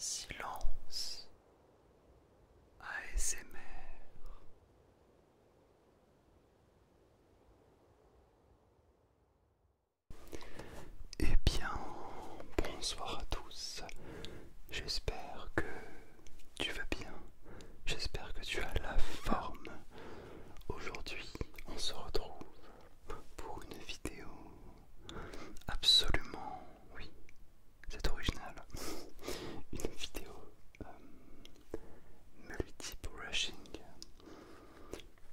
Silence ASMR Eh bien, bonsoir à tous. J'espère que tu vas bien. J'espère que tu as la forme. Aujourd'hui, on se retrouve pour une vidéo absolument, oui, c'est original, une vidéo euh, multi-brushing,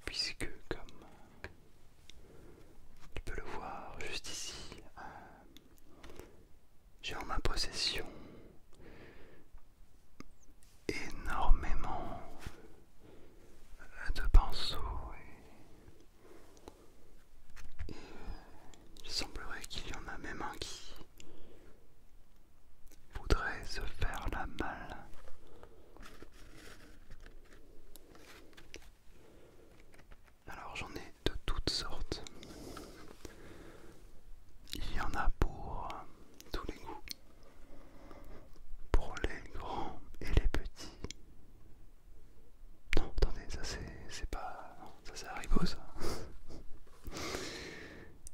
puisque comme tu peux le voir juste ici, euh, j'ai en ma possession énormément de pinceaux il semblerait qu'il y en a même un qui voudrait se faire la malle. Alors j'en ai de toutes sortes. Il y en a pour tous les goûts pour les grands et les petits. Non, attendez, ça c'est pas. ça c'est Haribo ça.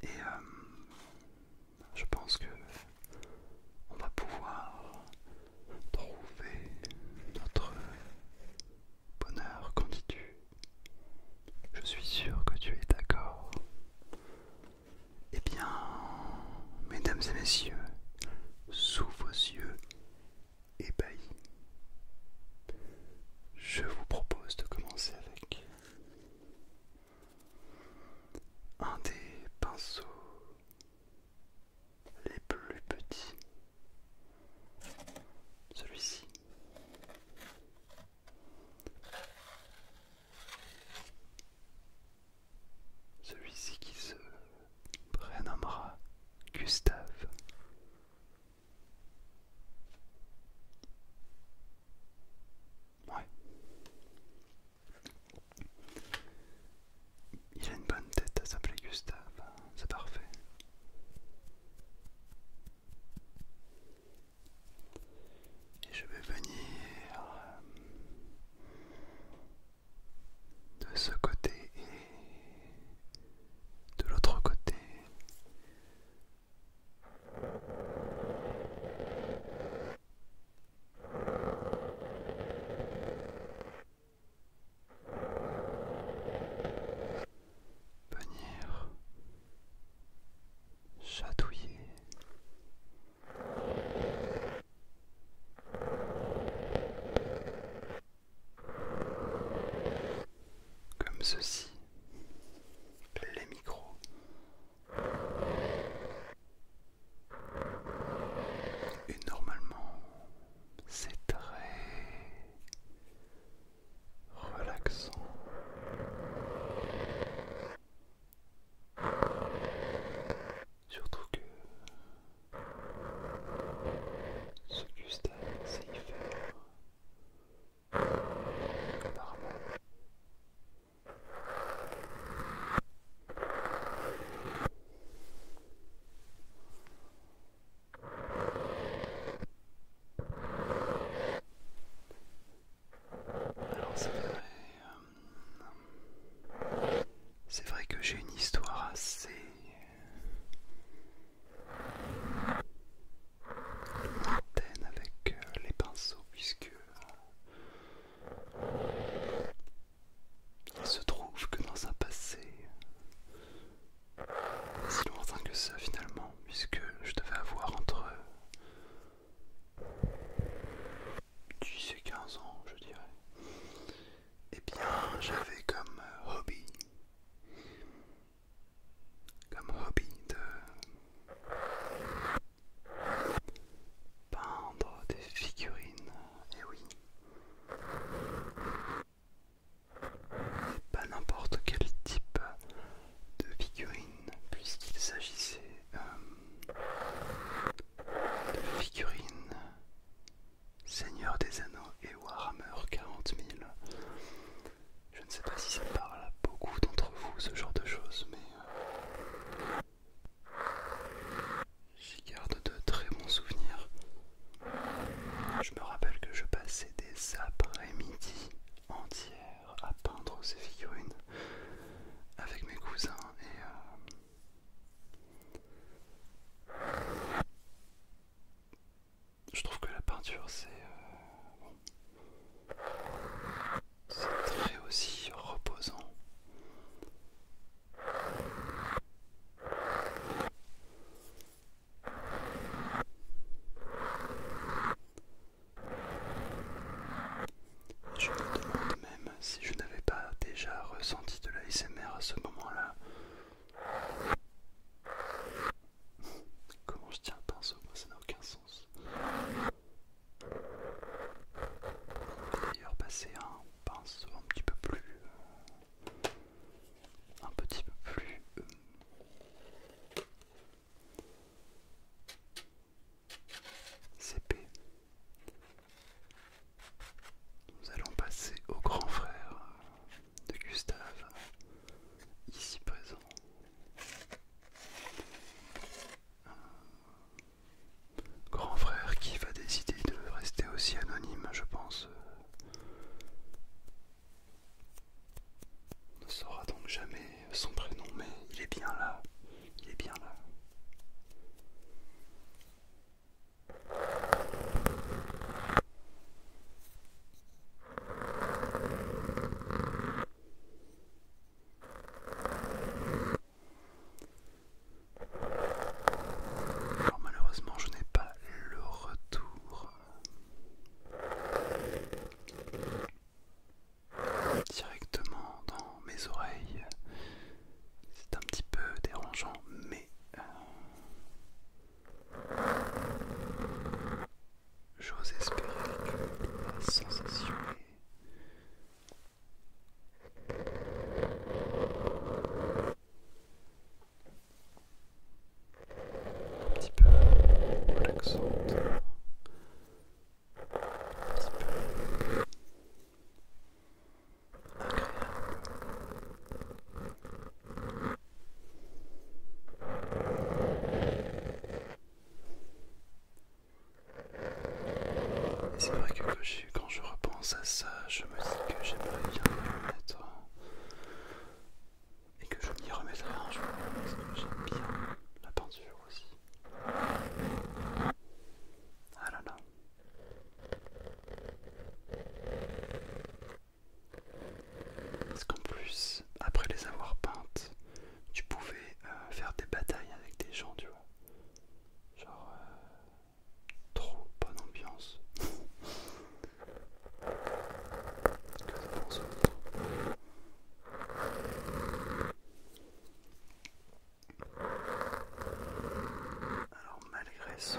Et euh, je pense que on va pouvoir trouver notre bonheur quand tu. Je suis sûr que tu es d'accord. Eh bien, mesdames et messieurs, sous vos yeux ébahis, je vous propose de commencer avec un des pinceaux les plus petits, celui-ci. Celui-ci qui se prénommera Gustave. Ouais. Il a une bonne tête à s'appeler Gustave, hein. c'est parfait. Et je vais venir euh, de ce côté et de l'autre côté. Venir chatouiller. Comme ceci, les micros. Et normalement, c'est très relaxant. Surtout que ce Gustave sait y faire normal. Alors ça va euh, c'est vrai que j'ai une histoire assez lointaine avec euh, les pinceaux puisque euh, il se trouve que dans un passé si lointain que ça finalement puisque je devais avoir entre 10 et 15 ans, je dirais, eh bien j'avais comme euh, hobby, comme hobby de peindre des figurines, et eh oui. pas n'importe quel type de figurines puisqu'il s'agissait euh, de figurines Seigneur des Anneaux et Warhammer 40 000. Je ne sais pas si ça parle à beaucoup d'entre vous ce genre de choses, mais euh, j'y garde de très bons souvenirs. Je me rappelle que je passais des après-midi entière à peindre ces figurines avec mes cousins et euh, je trouve que la peinture c'est euh, très aussi reposant. Je me demande même si je n'avais pas déjà ressenti de la l'ASMR à ce moment-là. Comment je tiens un pinceau, moi ça n'a aucun sens. D'ailleurs passer un pinceau un petit peu plus... Euh, un petit peu plus... Euh, CP. Nous allons passer au grand frère de Gustave, ici présent. grand frère qui va décider de rester aussi anonyme, je pense ne saura donc jamais son prénom, mais il est bien là. Il est bien là. malheureusement je n'ai pas le retour directement dans mes oreilles. C'est un petit peu dérangeant, mais euh, j'ose espérer que sensation un petit peu relaxante, un petit peu agréable. Et c'est vrai que quand je, quand je repense à ça, je me dis que j'aimerais bien être et que je m'y remettrai en jour parce que j'aime bien la peinture aussi. Ah là là. Parce qu'en plus, après les avoir peintes, tu pouvais euh, faire des batailles avec des gens, tu vois. Genre, euh, trop bonne ambiance. Alors malgré son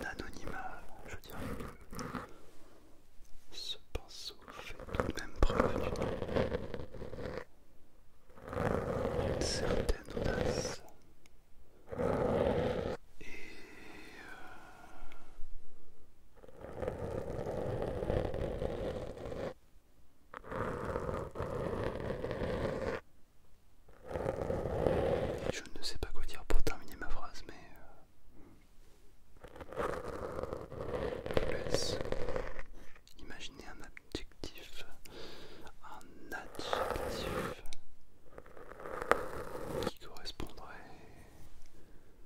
anonymat, je dirais que ce pinceau fait tout de même preuve d'une certaine audace euh, je ne sais pas quoi dire pour terminer ma phrase, mais euh, je laisse un adjectif, un adjectif qui correspondrait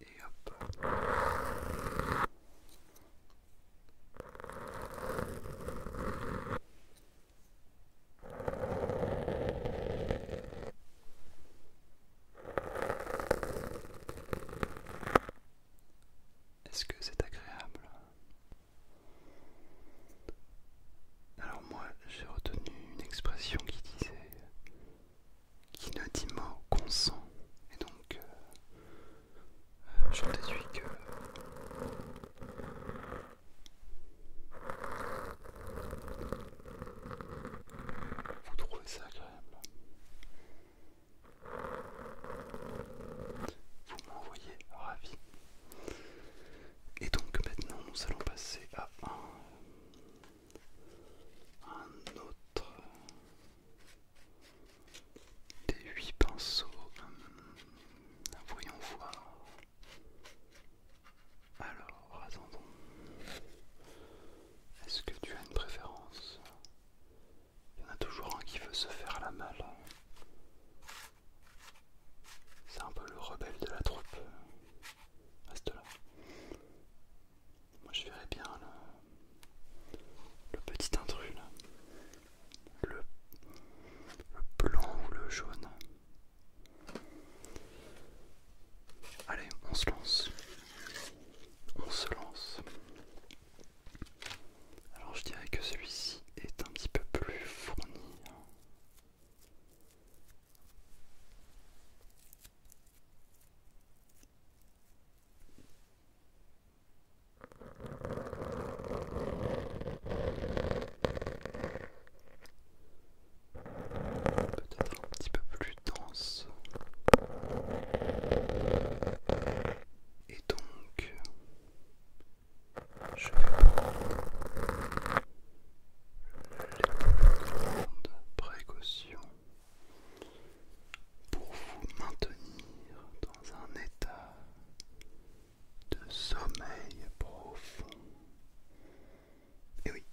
Et Est-ce que c'est agréable alors moi j'ai retenu une expression qui disait qui ne dit mot consent et donc euh, euh, j'en déduis que vous trouvez ça agréable. Vous m'envoyez ravi. Et donc maintenant nous allons passer à un, autre des huit pinceaux. Hum, voyons voir. Alors, attendons. Est-ce que tu as une préférence Il y en a toujours un qui veut se faire la malle. C'est un peu le rebelle de la troupe à là. Moi je verrais bien le, petit intrus là. le blanc ou le jaune. Allez, on se lance. On se lance. Alors je dirais que celui-ci est un petit peu plus fourni. Peut-être un petit peu plus dense. Et donc je vais prendre les plus grandes précautions pour vous maintenir dans un état de sommeil profond. Et oui,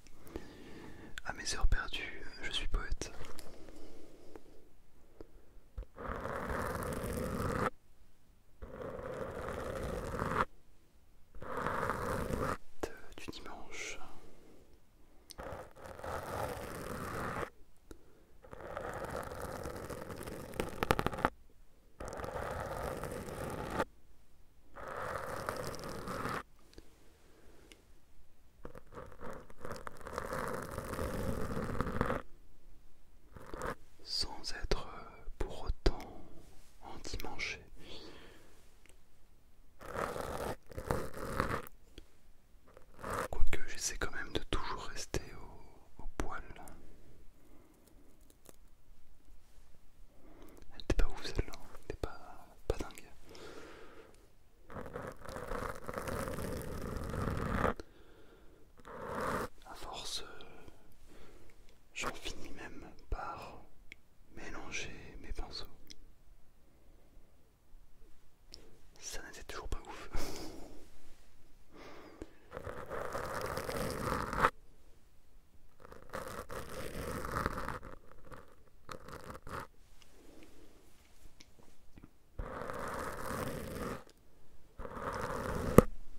à mes heures perdues, je suis poète du dimanche. Sans être euh, pour autant en endimanché. Quoique j'essaie quand même de toujours rester au, poil. Elle pas ouf celle-là, hein. elle pas dingue à force, euh, j'en finis même par mélanger mes pinceaux. Ça n'était toujours pas ouf.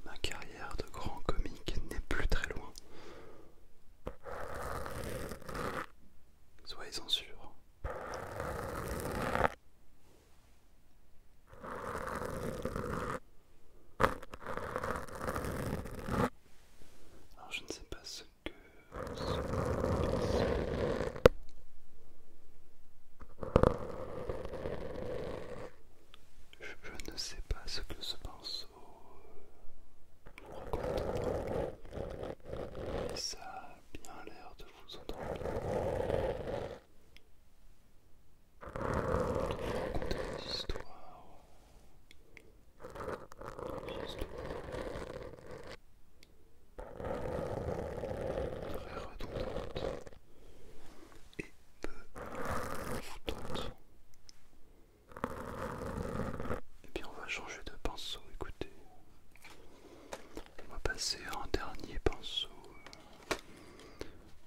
Ma carrière de grand comique n'est plus très loin. Soyez-en sûrs. Alors je ne sais pas ce que je, ne sais pas ce que ce pinceau vous raconte. Mais ça a bien l'air de vous entendre. De vous raconter des histoires. Des histoires. Très redondantes et peu Et puis on va changer de pinceau, écoutez. On va passer à un dernier pinceau,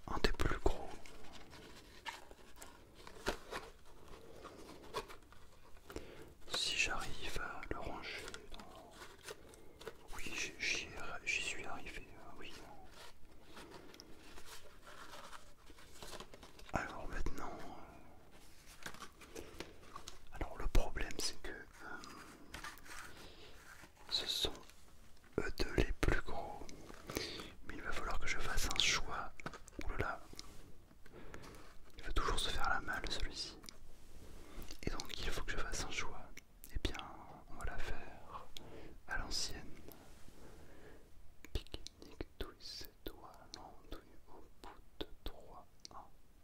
un des plus gros. Si j'arrive à le ranger oui, j'y suis arrivé, euh, oui. Alors maintenant... Euh, alors le problème c'est que euh, ce sont eux deux les plus gros. Mais il va falloir que je fasse un choix. Oulala. Il va toujours se faire la malle celui-ci. Et donc il faut que je fasse un choix. Et eh bien, on va la faire à l'ancienne. Pique-nique, douille, doigts, tout au bout de 3, 1,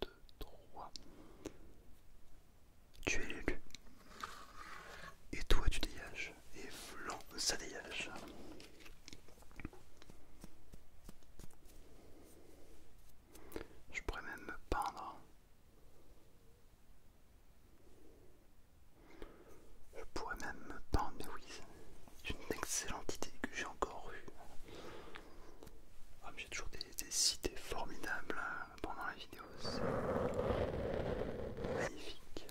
2, 3. Tu es l'élu. Et toi, tu dégages. Et flan, ça dégage. Je pourrais même me peindre je pourrais même me peindre, mais c'est une excellente idée que j'ai encore eue. Ah, j'ai toujours des, cités formidables hein, pendant la vidéo, c'est magnifique.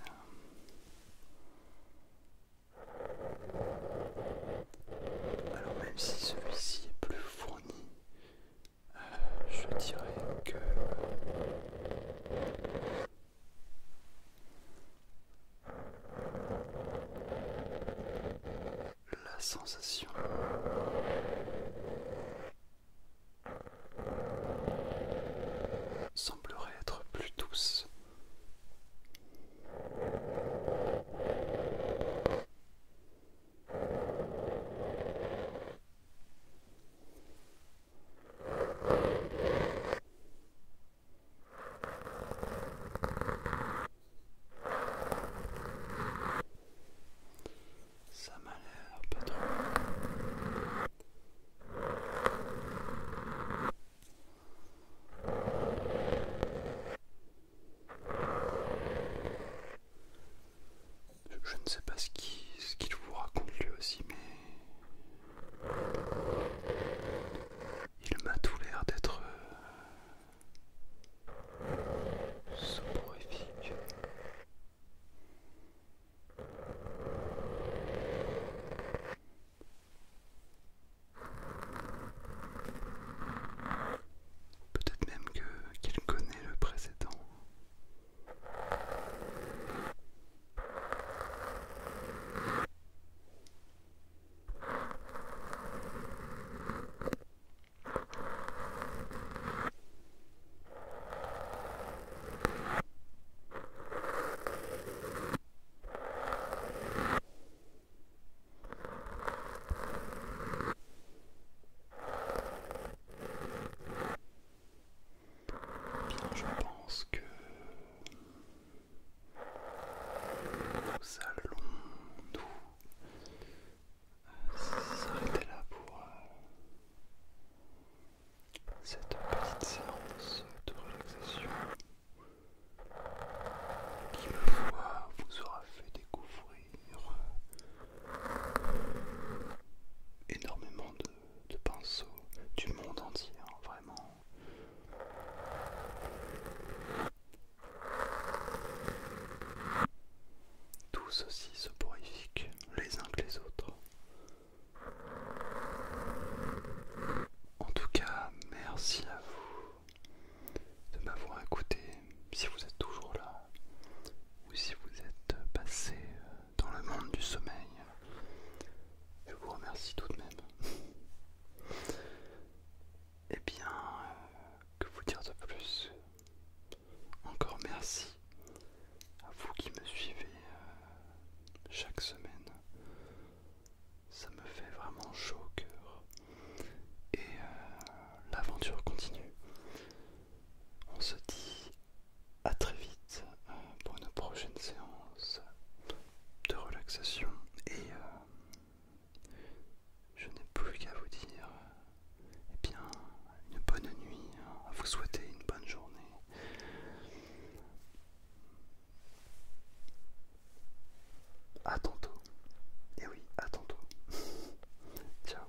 Alors même si celui-ci est plus fourni, je dirais que la sensation semblerait être plus douce. Ça m'a l'air pas trop. Voilà. Je, ne sais pas ce qu'il vous raconte lui aussi, mais il m'a tout l'air d'être euh, soporifique. Peut-être même qu'il connaît le précédent je pense que nous allons nous euh, s'arrêter là pour euh, cette petite séance de relaxation qui, me vous aura fait découvrir énormément de, pinceaux du monde entier, hein, vraiment. Tous aussi soporifiques les uns que les autres. En tout cas, merci à vous de m'avoir écouté, si vous êtes toujours là, ou si vous êtes passé euh, dans le monde du sommeil. Je vous remercie tout de même. et eh bien, euh, que vous dire de plus Encore merci à vous qui me suivez euh, chaque semaine ça me fait vraiment chaud au cœur. Et euh, l'aventure continue. On se dit à très vite euh, pour une prochaine séance de relaxation. Et euh, je n'ai plus qu'à vous dire, eh bien, une bonne nuit, hein. à vous souhaiter une bonne journée à tantôt. Et eh oui, à tantôt. Ciao.